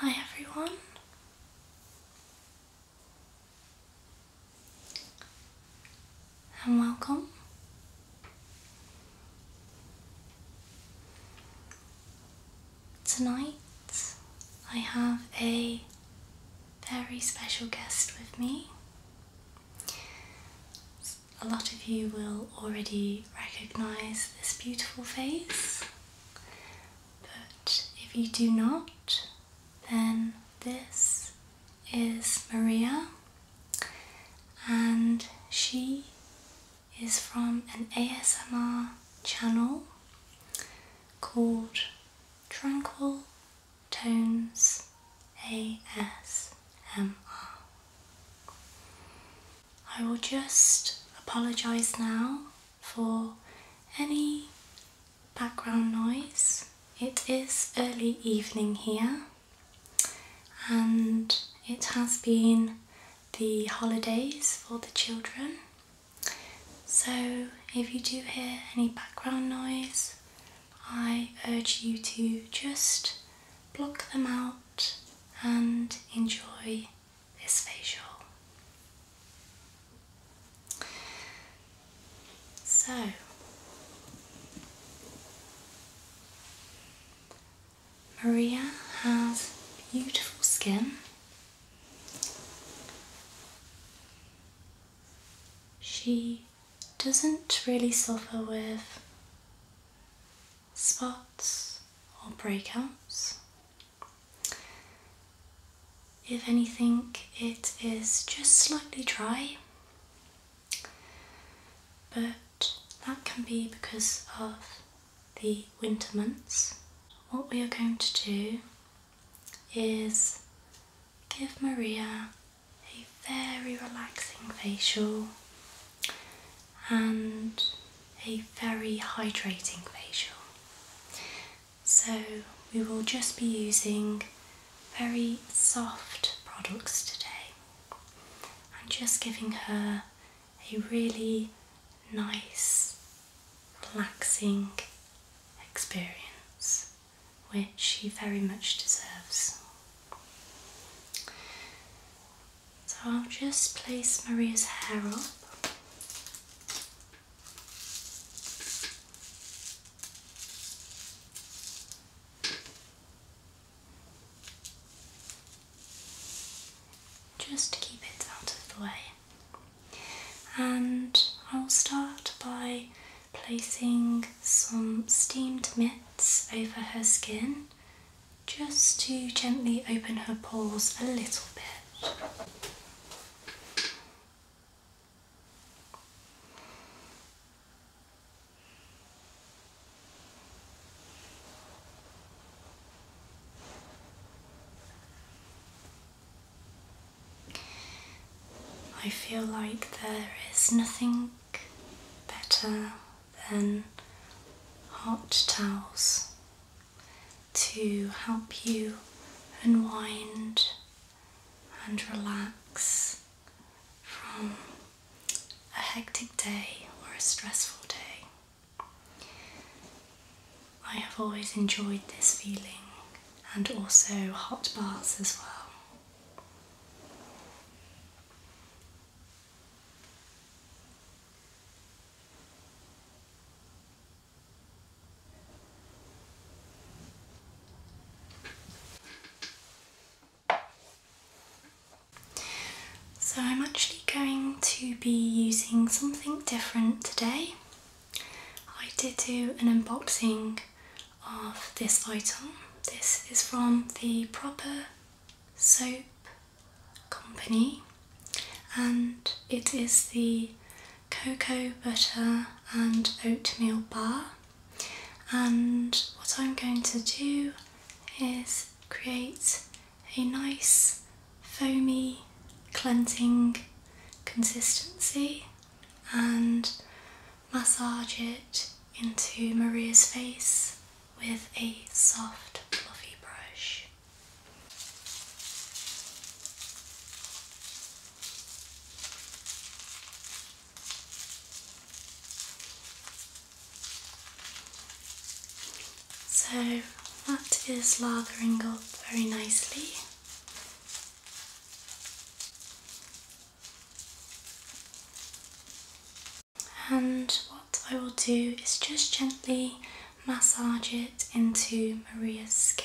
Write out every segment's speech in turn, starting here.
Hi everyone. And welcome. Tonight I have a very special guest with me. A lot of you will already recognize this beautiful face, but if you do not, then this is Maria, and she is from an ASMR channel called Tranquil Tones A S M R. I will just apologise now for any background noise. It is early evening here and it has been the holidays for the children. So if you do hear any background noise, I urge you to just block them out and enjoy this facial. So, Maria has beautiful skin. She doesn't really suffer with spots or breakouts. If anything, it is just slightly dry, but that can be because of the winter months. What we are going to do is give Maria a very relaxing facial and a very hydrating facial. So, we will just be using very soft products today and just giving her a really nice, relaxing experience which he very much deserves. So I'll just place Maria's hair up. Just to keep it out of the way. And I'll start by placing some steamed mitts over her skin just to gently open her pores a little bit. I feel like there is nothing better than hot towels to help you unwind and relax from a hectic day or a stressful day. I have always enjoyed this feeling and also hot baths as well. So I'm actually going to be using something different today. I did do an unboxing of this item. This is from the Proper Soap Company and it is the cocoa butter and oatmeal bar. And what I'm going to do is create a nice foamy cleansing consistency and massage it into Maria's face with a soft fluffy brush. So that is lathering up very nicely. And what I will do is just gently massage it into Maria's skin.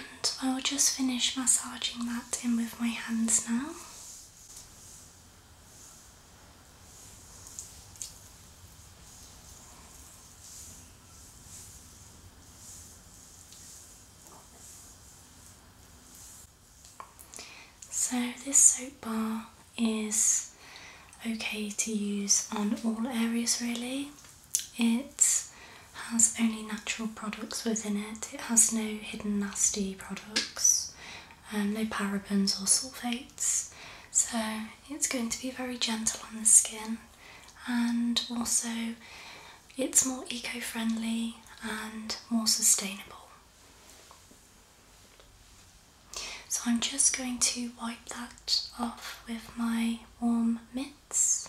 And I'll just finish massaging that in with my hands now. So this soap bar is okay to use on all areas really. It has only natural products within it. It has no hidden nasty products um, no parabens or sulfates, so it's going to be very gentle on the skin and also it's more eco friendly and more sustainable. So I'm just going to wipe that off with my warm mitts.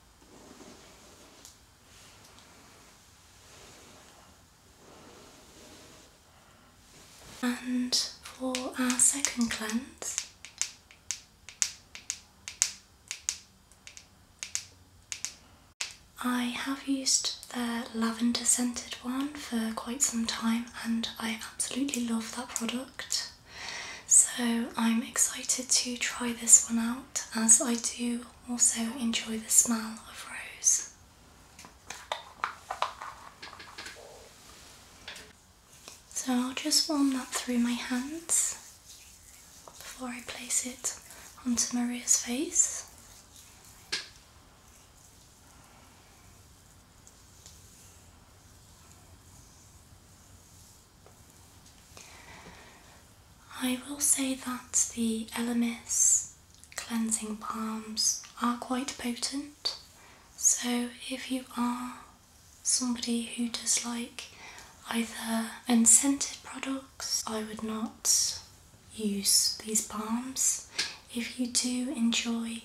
And for our second cleanse, I have used their lavender scented one for quite some time and I absolutely love that product. So I'm excited to try this one out as I do also enjoy the smell of rose. So I'll just warm that through my hands before I place it onto Maria's face. I will say that the LMS cleansing balms are quite potent, so if you are somebody who does like either unscented products, I would not use these balms. If you do enjoy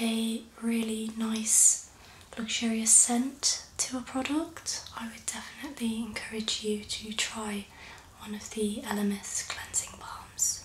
a really nice luxurious scent to a product, I would definitely encourage you to try one of the Elemis cleansing balms.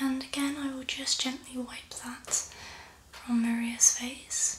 And again, I will just gently wipe that from Maria's face.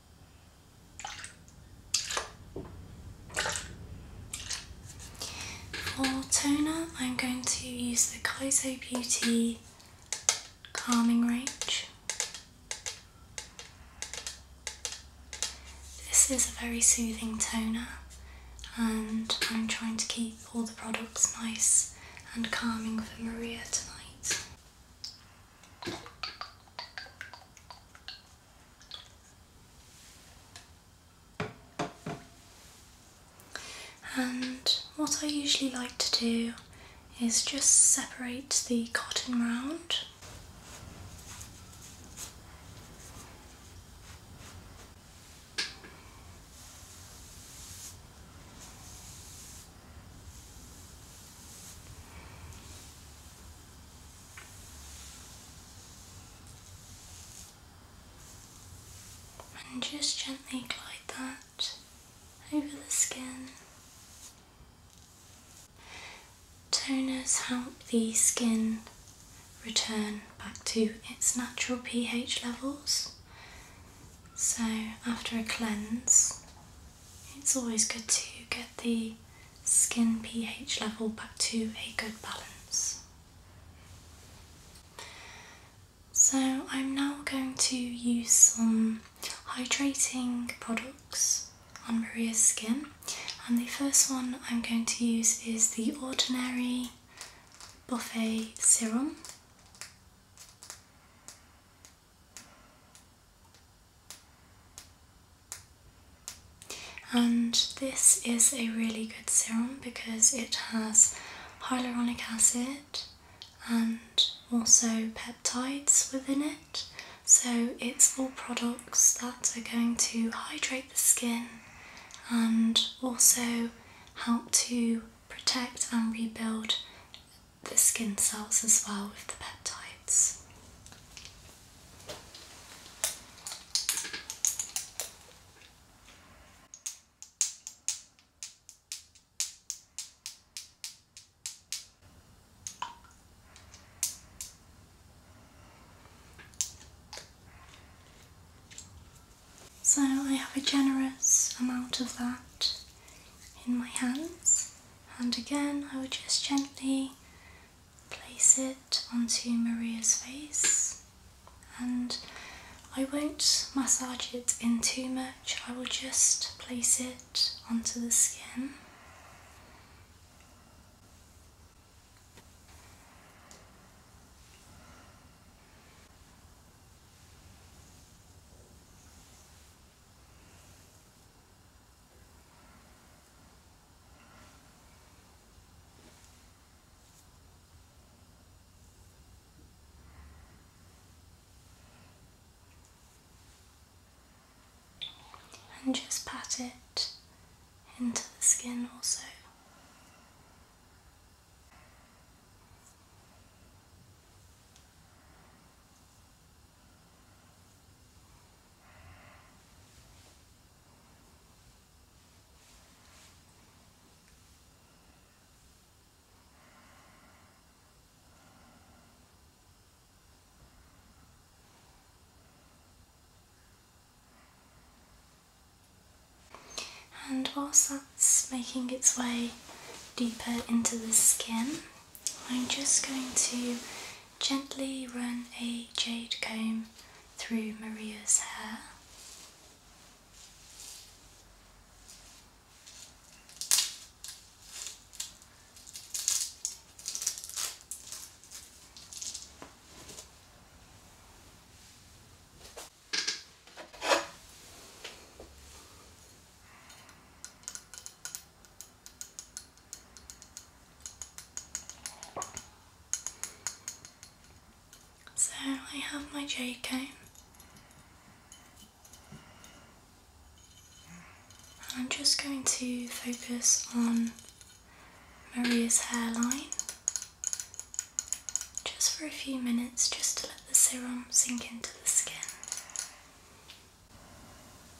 For toner, I'm going to use the Kaizo Beauty Calming Range. This is a very soothing toner and I'm trying to keep all the products nice and calming for Maria tonight. And what I usually like to do is just separate the cotton round. And just gently glide that over the skin. Toners help the skin return back to its natural pH levels. So, after a cleanse, it's always good to get the skin pH level back to a good balance. So, I'm now going to use some hydrating products on Maria's skin, and the first one I'm going to use is the Ordinary Buffet Serum. And this is a really good serum because it has hyaluronic acid and also peptides within it. So it's all products that are going to hydrate the skin and also help to protect and rebuild the skin cells as well with the peptides. So I have a generous amount of that in my hands and again I would just gently place it onto Maria's face and I won't massage it in too much, I will just place it onto the skin. And just pat it into the skin also. And whilst that's making its way deeper into the skin, I'm just going to Gently run a jade comb through Maria's hair. So I have my J comb and I'm just going to focus on Maria's hairline just for a few minutes just to let the serum sink into the skin.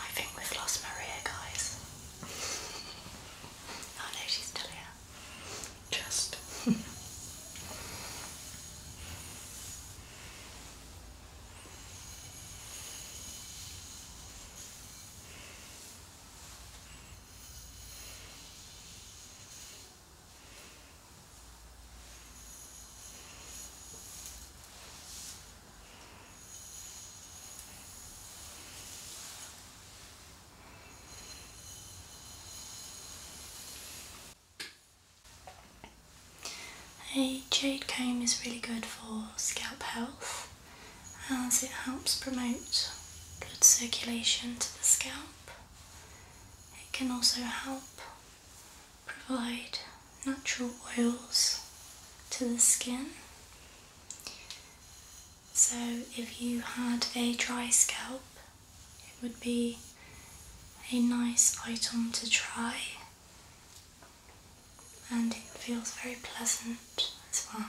I think we've lost Maria, guys. oh no, she's still here. Just. A jade comb is really good for scalp health as it helps promote blood circulation to the scalp. It can also help provide natural oils to the skin so if you had a dry scalp, it would be a nice item to try and it feels very pleasant as well.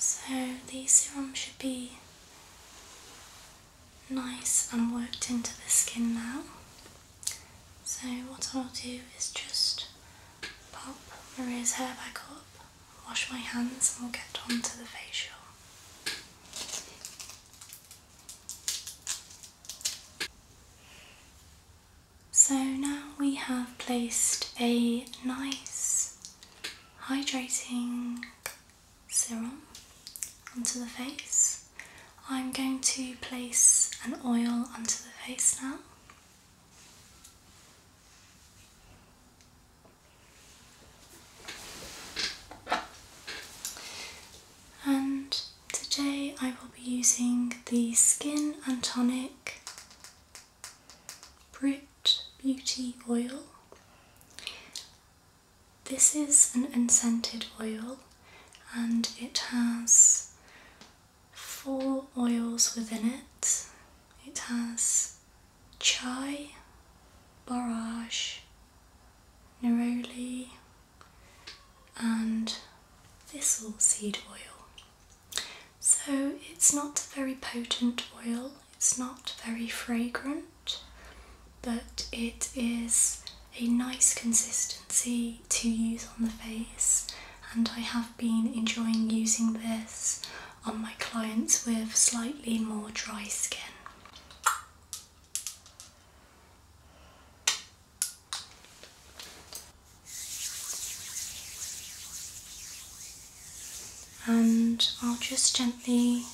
So the serum should be nice and worked into the skin now. So what I'll do is just pop Maria's hair back up, wash my hands and we'll get on to the facial. So now we have placed a nice hydrating serum onto the face. I'm going to place an oil onto the face now. And today I will be using the Skin and Tonic Brit Beauty Oil. This is an unscented oil and it has four oils within it. It has chai, barrage, neroli, and thistle seed oil. So it's not a very potent oil, it's not very fragrant, but it is a nice consistency to use on the face, and I have been enjoying using this on my clients with slightly more dry skin. And I'll just gently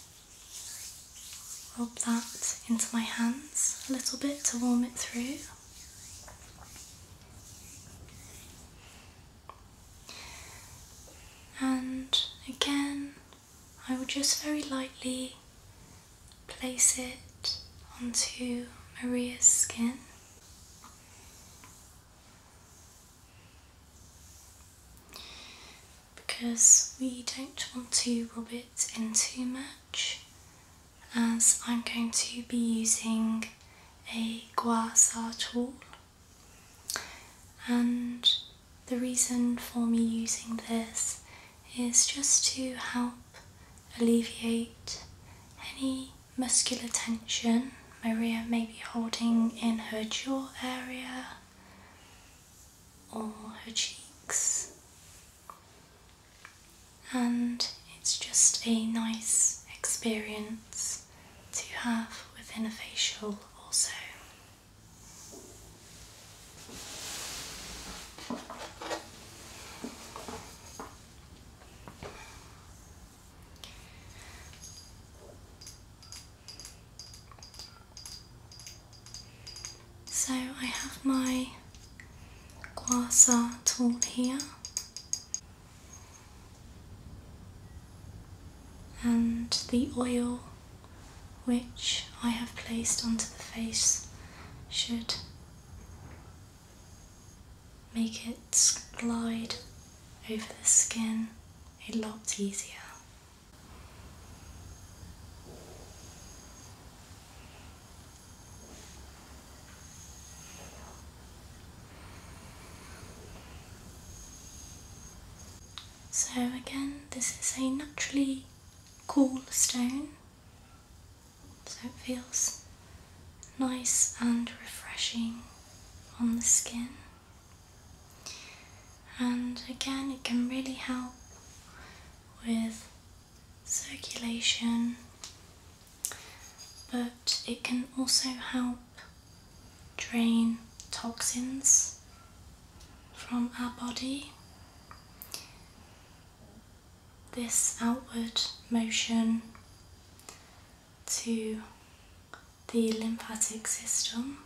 Rub that into my hands a little bit to warm it through. And again, I will just very lightly place it onto Maria's skin because we don't want to rub it in too much as I'm going to be using a gua sha tool and the reason for me using this is just to help alleviate any muscular tension Maria may be holding in her jaw area or her cheeks, and it's just a nice experience to have within a facial, also. So I have my guasa tool here and the oil which I have placed onto the face should make it glide over the skin a lot easier. So again, this is a naturally cool stone, so it feels nice and refreshing on the skin and again it can really help with circulation but it can also help drain toxins from our body this outward motion to the lymphatic system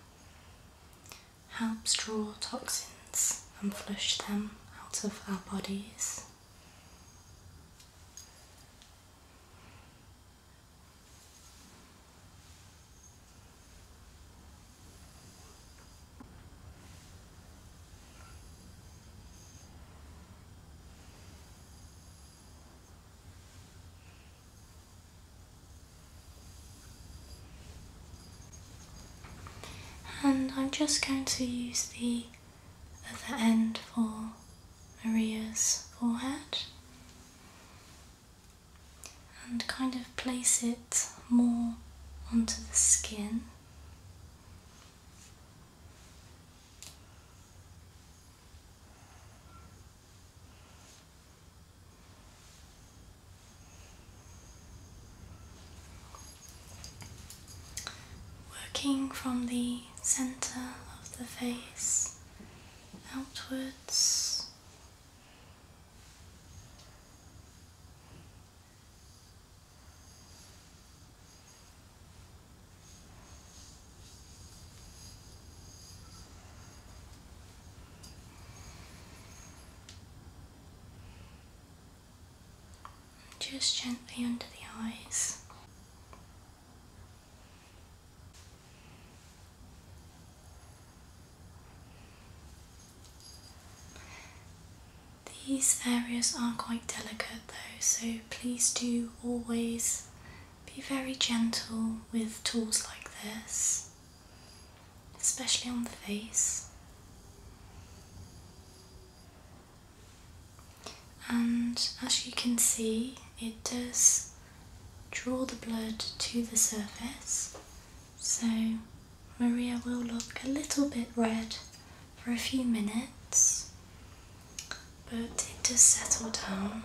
helps draw toxins and flush them out of our bodies. And I'm just going to use the other end for Maria's forehead and kind of place it more onto the skin. Working from the center of the face outwards. Just gently under the eyes. These areas are quite delicate though, so please do always be very gentle with tools like this especially on the face. And as you can see, it does draw the blood to the surface, so Maria will look a little bit red for a few minutes, but it does settle down.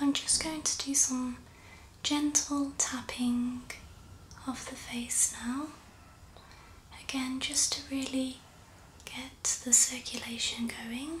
I'm just going to do some gentle tapping of the face now. Again, just to really get the circulation going.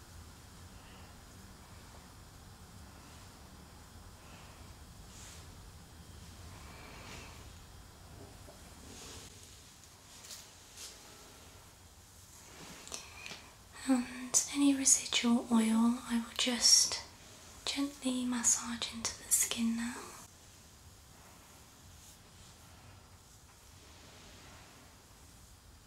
And any residual oil I will just gently massage into the skin now.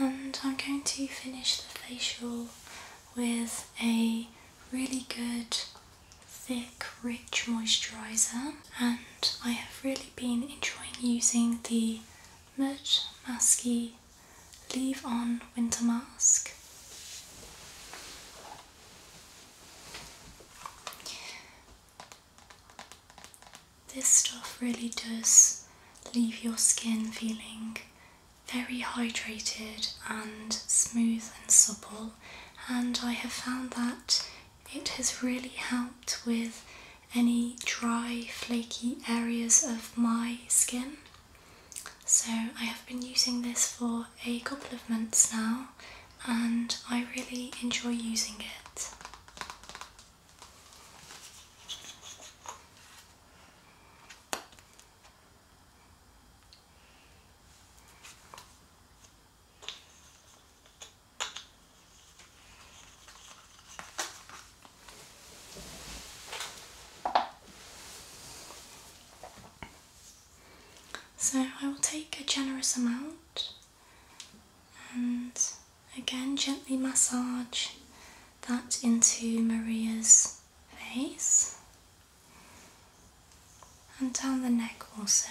And I'm going to finish the facial with a really good, thick, rich moisturiser. And I have really been enjoying using the Mert Masky Leave On Winter Mask. This stuff really does leave your skin feeling very hydrated and smooth and supple, and I have found that it has really helped with any dry, flaky areas of my skin. So, I have been using this for a couple of months now, and I really enjoy using it. So I will take a generous amount and again gently massage that into Maria's face and down the neck also.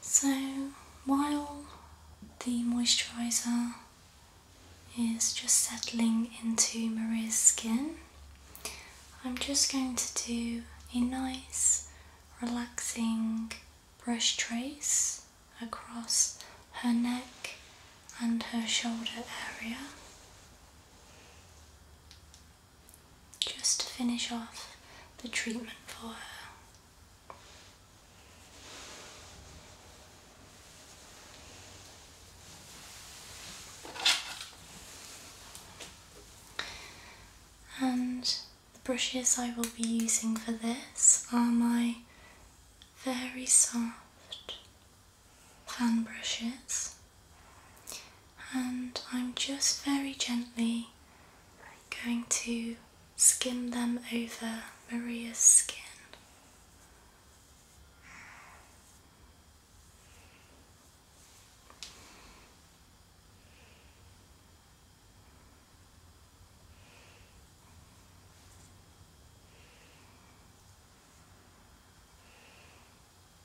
So, while the moisturiser is just settling into Maria's skin, I'm just going to do a nice relaxing brush trace across her neck and her shoulder area just to finish off the treatment for her. And the brushes I will be using for this are my very soft fan brushes and I'm just very gently going to skim them over Maria's skin.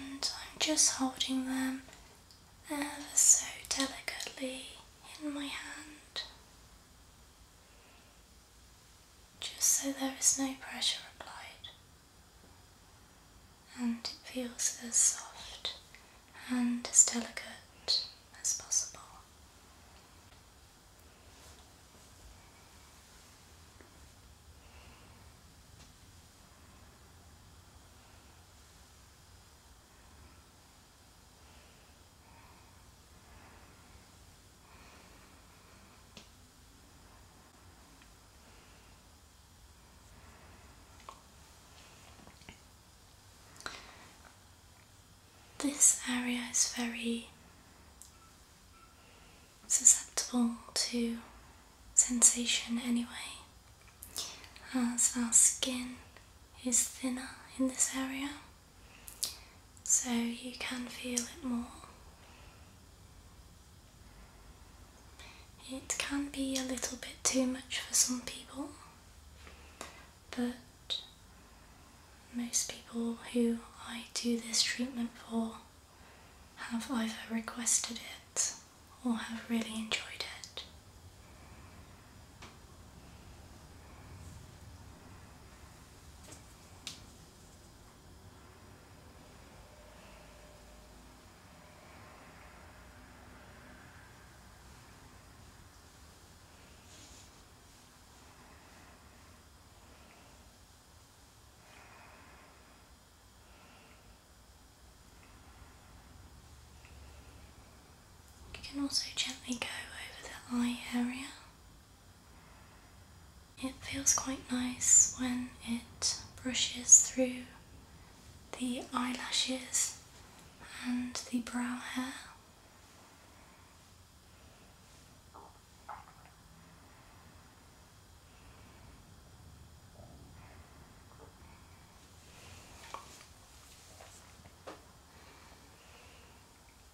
And I'm just holding them ever so delicately in my hand just so there is no pressure applied and it feels as soft and as delicate as possible. This area is very susceptible to sensation anyway, as our skin is thinner in this area so you can feel it more. It can be a little bit too much for some people, but most people who I do this treatment for have either requested it or have really enjoyed it. You can also gently go over the eye area. It feels quite nice when it brushes through the eyelashes and the brow hair.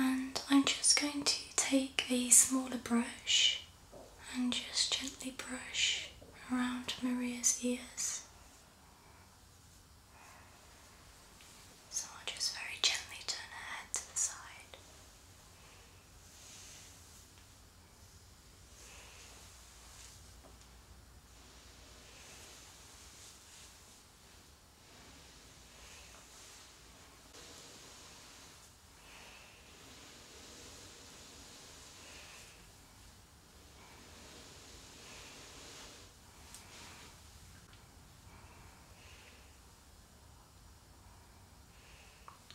And I'm just going to take a smaller brush and just gently brush around Maria's ears. So I'll just very gently turn her head to the side.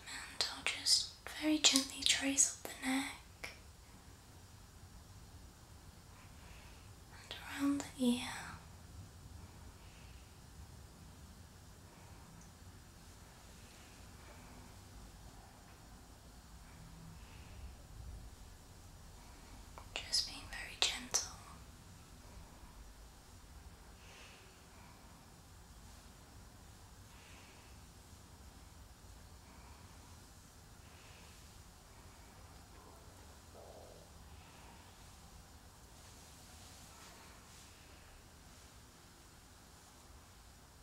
And I'll just very gently trace up the neck and around the ear. Just being very gentle.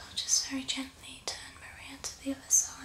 I'll just very gently turn Maria to the other side.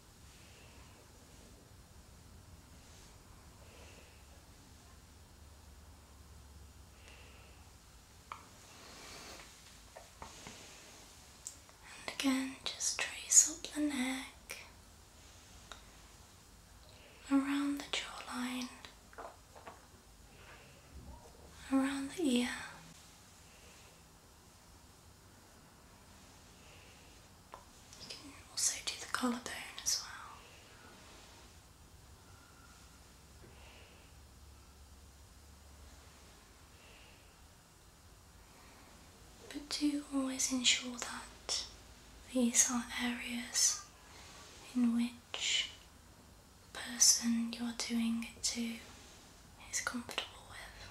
And again, just trace up the neck, around the jawline, around the ear. You can also do the collarbone as well. But do always ensure that these are areas in which the person you're doing it to is comfortable with.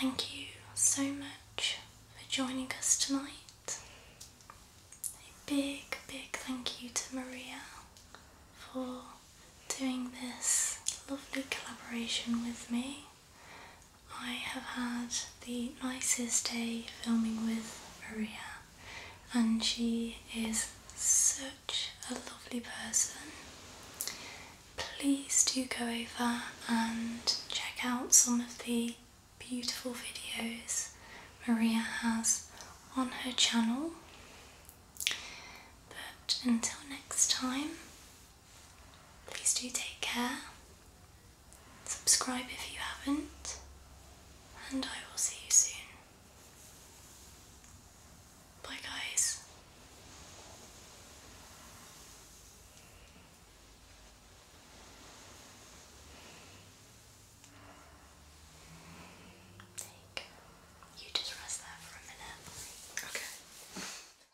Thank you so much for joining us tonight. A big, big thank you to Maria for doing this lovely collaboration with me. I have had the nicest day filming with Maria, and she is such a lovely person. Please do go over and check out some of the beautiful videos Maria has on her channel. But until next time, Please do take care. Subscribe if you haven't, and I will see you soon. Bye, guys. Take. You just rest there for a minute. Okay.